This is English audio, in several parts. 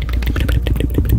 I'm just going to pluck away any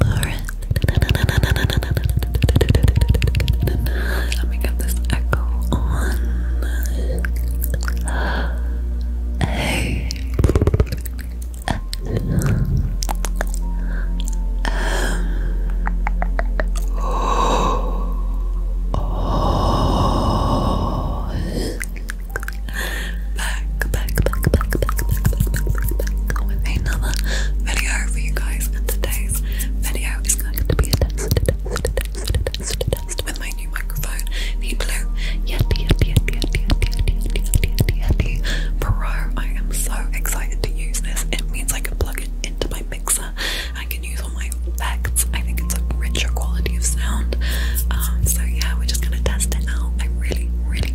Let me get this echo on. Hey. Oh back, back, back, back, back, back, back, back, back with another video for you guys. today's video is going to be a test, test, test, test, test with my new microphone, the blue Yeti, Yeti, Yeti, Yeti, Yeti, Yeti, Yeti, Yeti, Yeti Pro. I am so excited to use this. It means I can plug it into my mixer. I can use all my effects. I think it's a richer quality of sound. Um, so yeah, we're just gonna test it out. i really, really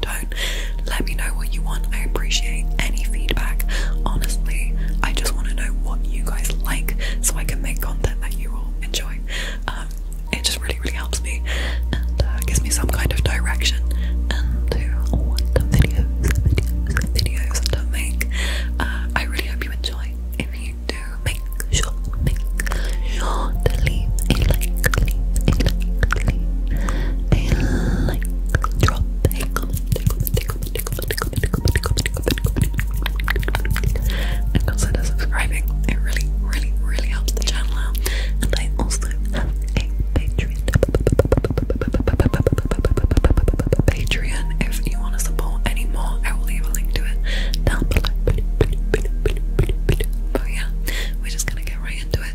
don't. Let me know what you want. I appreciate any feedback. Honestly, I just want to know what you guys like so I can make content that you all enjoy. Um, it just really, really helps me and uh, gives me some kind of direction and what videos, videos, videos to make. Uh, I really hope you enjoy. If you do, make sure, make sure to leave a like, leave a like, leave a like, drop a comment, a comment, a comment, a comment, a comment, a comment, a comment, a comment, a comment, and consider subscribing. It really, really, really helps the channel out. And I also have a Patreon. Patreon, if you want to support any more, I will leave a link to it down below. But yeah, we're just gonna get right into it.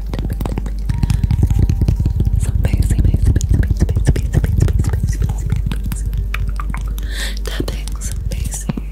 some base, base, Tapping, some base. Tapping.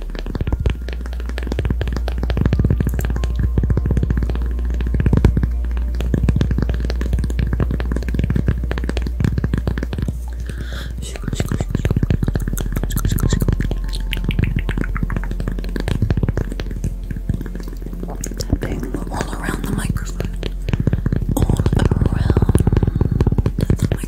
Tapping all around the microphone. All around the microphone.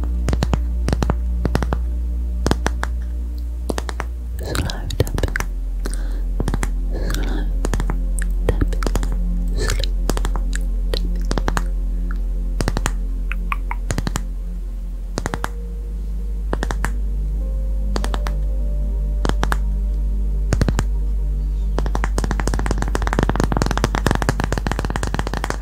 Slow tapping, slow tapping, slow tapping.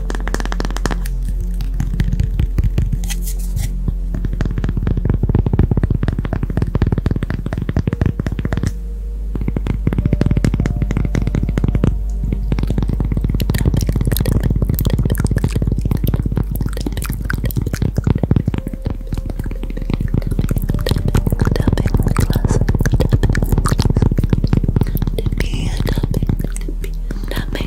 Tapping, tapping, tapping, tapping, tapping, tapping, tapping, tapping, tapping,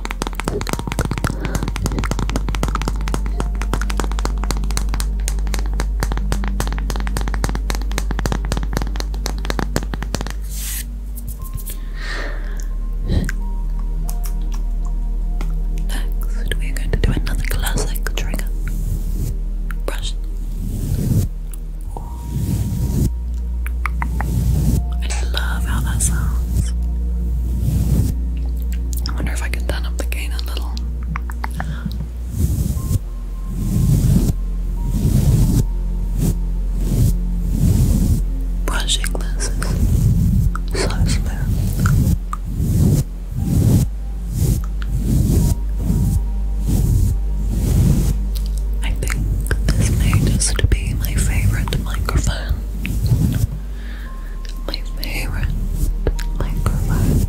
Next, we are going to do another classic trigger brush. I love how that sounds. I wonder if I can turn up the gain a little. Brushing this is so smooth. I think this may just be my favorite microphone my favorite microphone,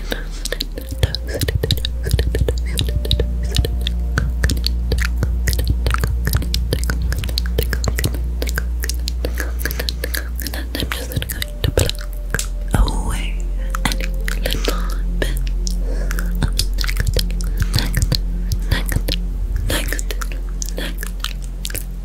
I'm just going to pluck away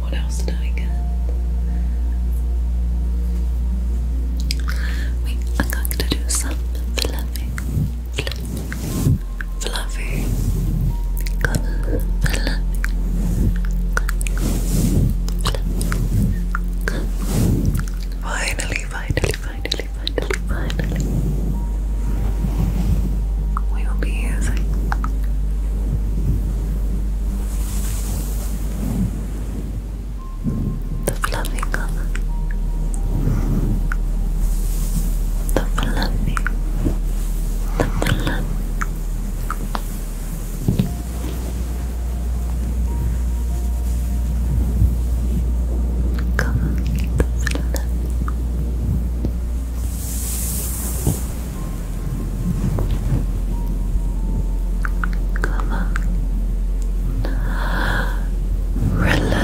What else did I get? Wait, i going to do some fluffing, fluffing, fluffing, Finally, finally, finally, finally, finally. We will be using the fluffy color. The fluffy. The fluffy. Come on, Come on. Relax.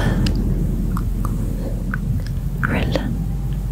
Relax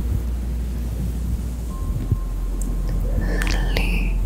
Sleepy, sleepy, Sleep.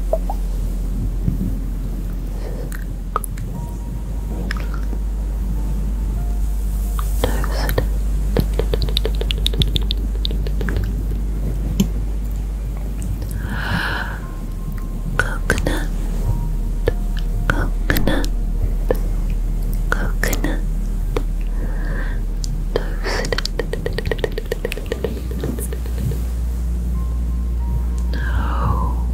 Toast. Coconut, coconut, coconut, toasted, No.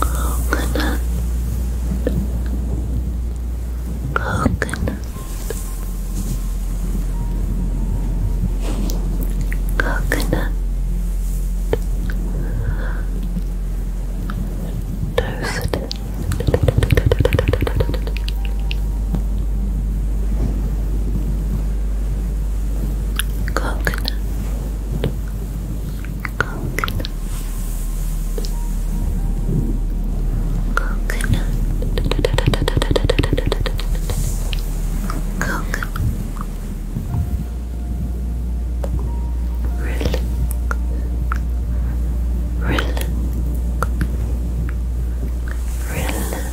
Coconut. Coconut. Coconut. Toasted. Coconut, coconut, coconut, coconut, relax, relax, relax.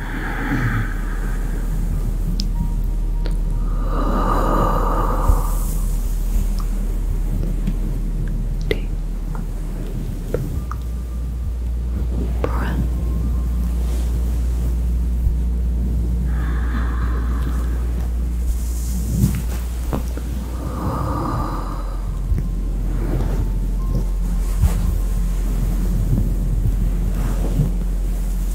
Deep breath. Deep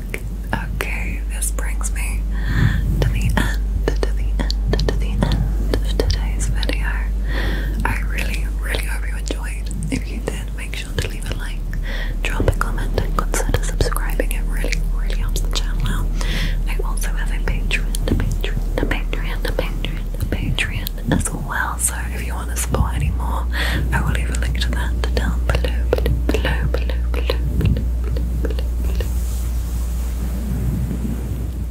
book. Okay, this brings me to the end, to the end, to the end of today's video. I really, really hope you enjoyed. If you did, make sure to leave a like, drop a comment, and consider subscribing. It really, really helps the channel out. I also have a Patreon, a Patreon, a Patreon, a Patreon, a Patreon as well. So if you want to support any more, I will leave a link to that down below, below, below, below, below, below, below, below, below.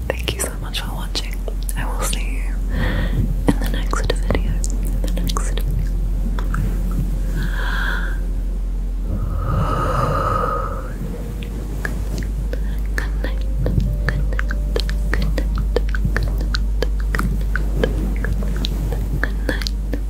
Thank you so much for watching. I will see you in the next video. Good night. Good night. Good night.